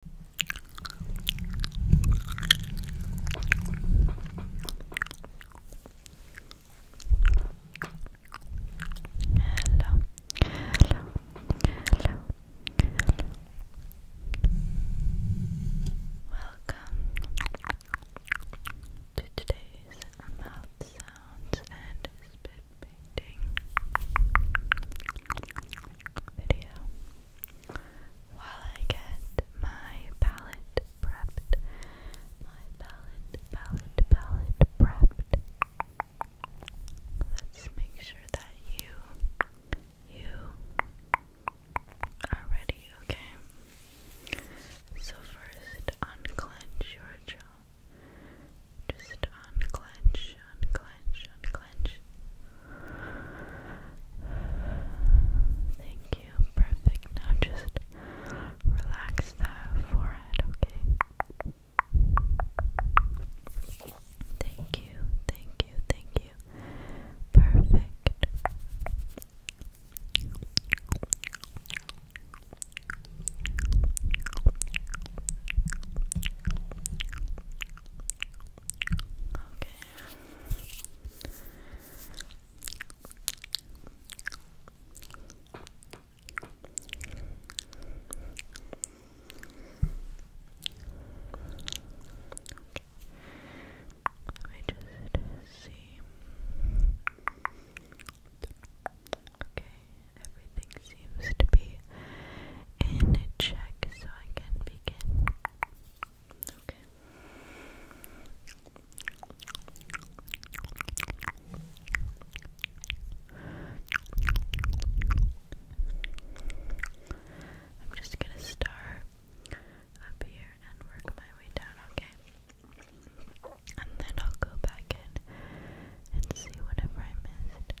hello, hello, hello. Welcome to today's mouth sounds and spit video while I get my palette prepped. My palette, palette, palette prepped. Let's make sure that you, you are ready, okay? So first, unclench your jaw. Just unclench unclench, unclench, Thank you. Perfect. Now just relax that forehead, okay? Thank you, thank you, thank you. Perfect. Okay. Let just see. Okay, everything seems to be in check, so I can begin. I'm just gonna start up here and work my way down, okay? And then I'll go back in and see whatever I missed.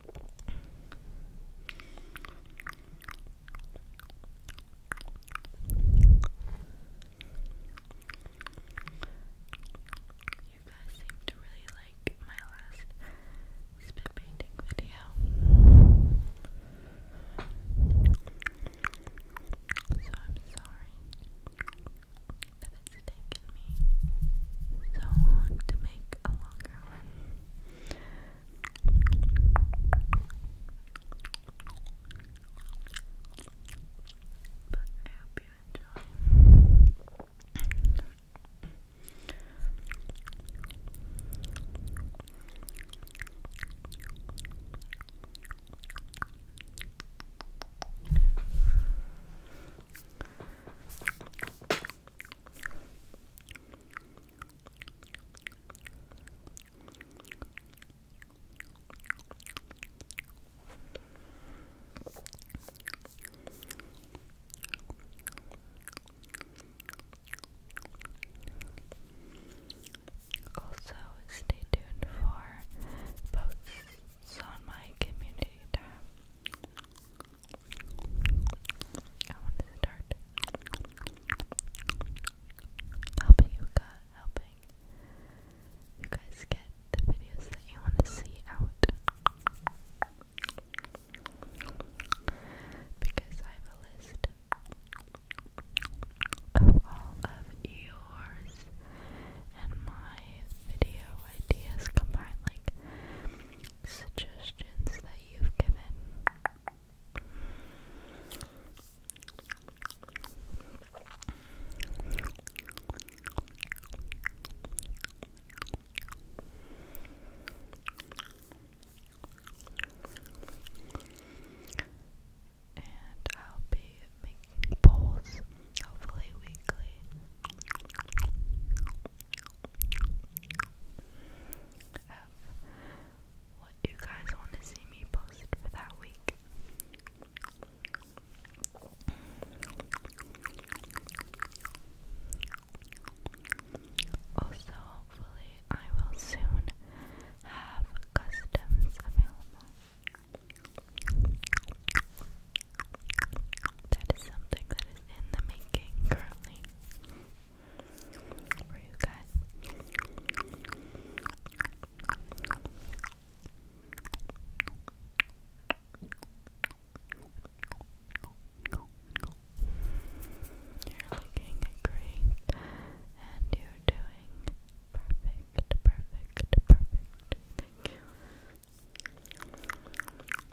You guys seem to really like my last spit painting video. So I'm sorry that it's taken me so long to make like But I hope you enjoy. Also, stay tuned for posts on my community tab. I want to start helping you guys, helping you guys get the videos that you want to see out because I have a list of all of yours and my video ideas combined like suggestions that you've given. And I'll be making polls, hopefully weekly of what you guys want to see me post for that week. Also, hopefully, I will soon have customs available. That is something that is in the making currently. You're looking great and you're doing perfect, perfect, perfect. Thank you.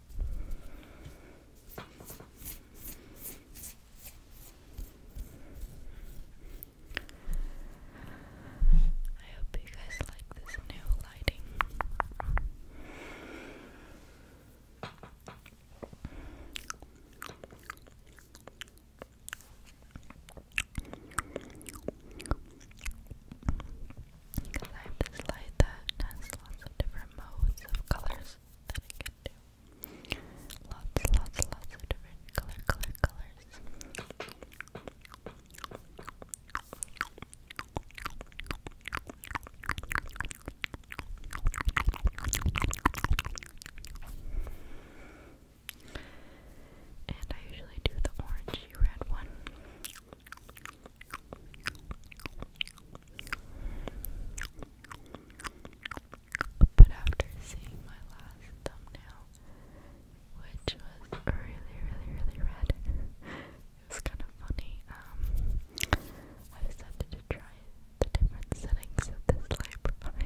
I hope you guys like this new lighting. Because I have this light that has lots of different modes of colors that I can do. Lots, lots, lots of different color, color, colors. And I usually do the orangey red one. But after seeing my last thumbnail, which was really, really, really red, it kind of funny. Um, I decided to try the different settings that this light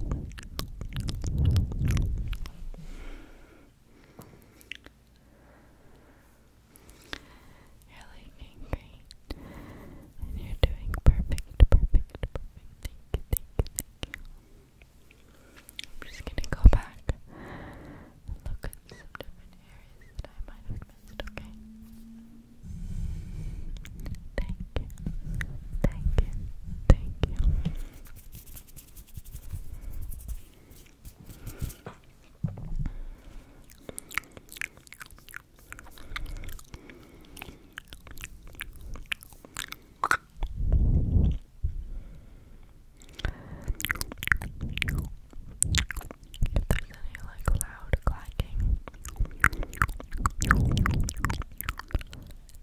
You're looking great. And you're doing perfect, perfect, perfect. Thank you, thank I'm just gonna go back look at some different areas that I might have missed, okay? Thank you. Thank you. Thank you. If there's any like loud clacking,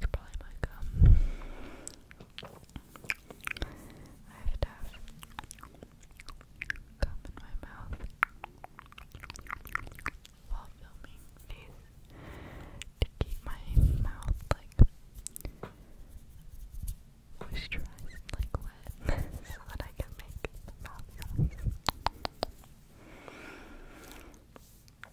it's probably my um, I have to have gum in my mouth while filming these to keep my mouth like moisturized, like wet, so that I can make mouth noise.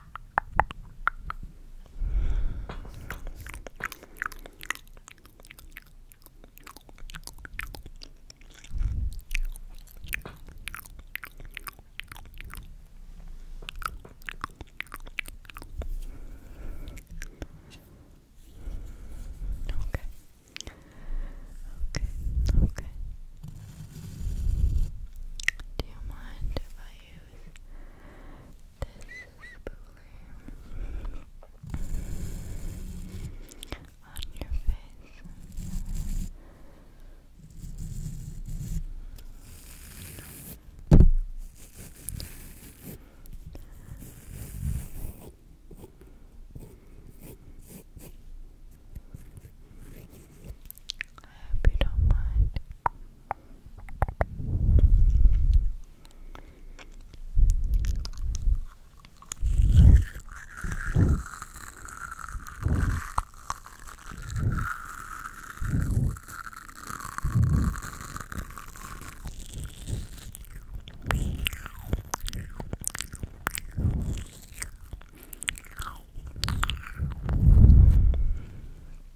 Okay. Okay, okay. Do you mind if I this is on your face. I hope you don't mind. I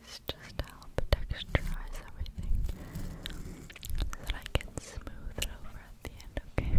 This just help texturize everything so that I can smooth it over at the end, okay?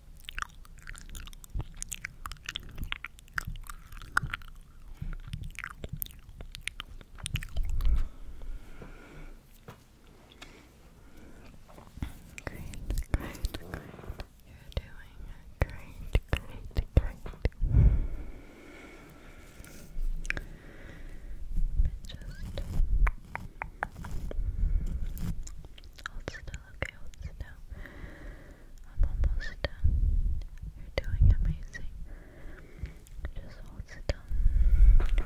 Great, great, great. You're doing great, great, great. Just hold still, okay, hold still. I'm almost done. You're doing amazing. Just hold still. Good.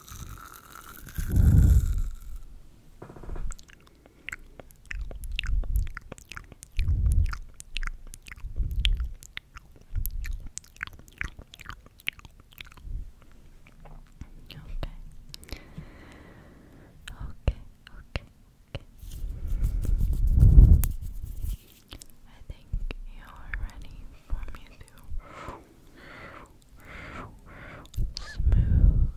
Okay. Okay, okay, okay. I think you're ready for me to smooth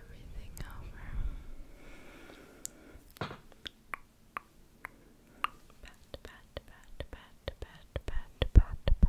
everything over. Pat, pat, pat, pat, pat, pat, pat, pat, pat. Pat,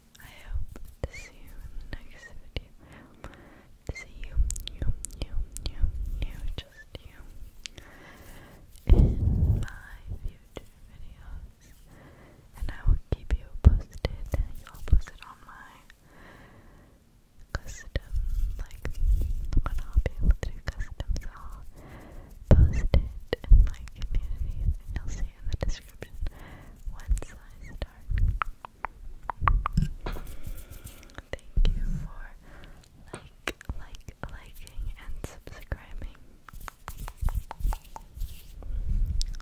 I hope to see you in the next video. I hope to see you, you, you, you, you, just you, in my future videos. And I will keep you posted. I'll post it on my custom, like, when I'll be able to do customs, I'll post it in my community, and you'll see in the description once I start Thank you for like, like, liking, and subscribing.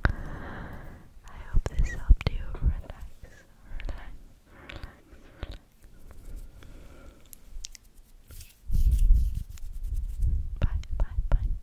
I hope this helped you relax, relax, relax. Bye, bye, bye.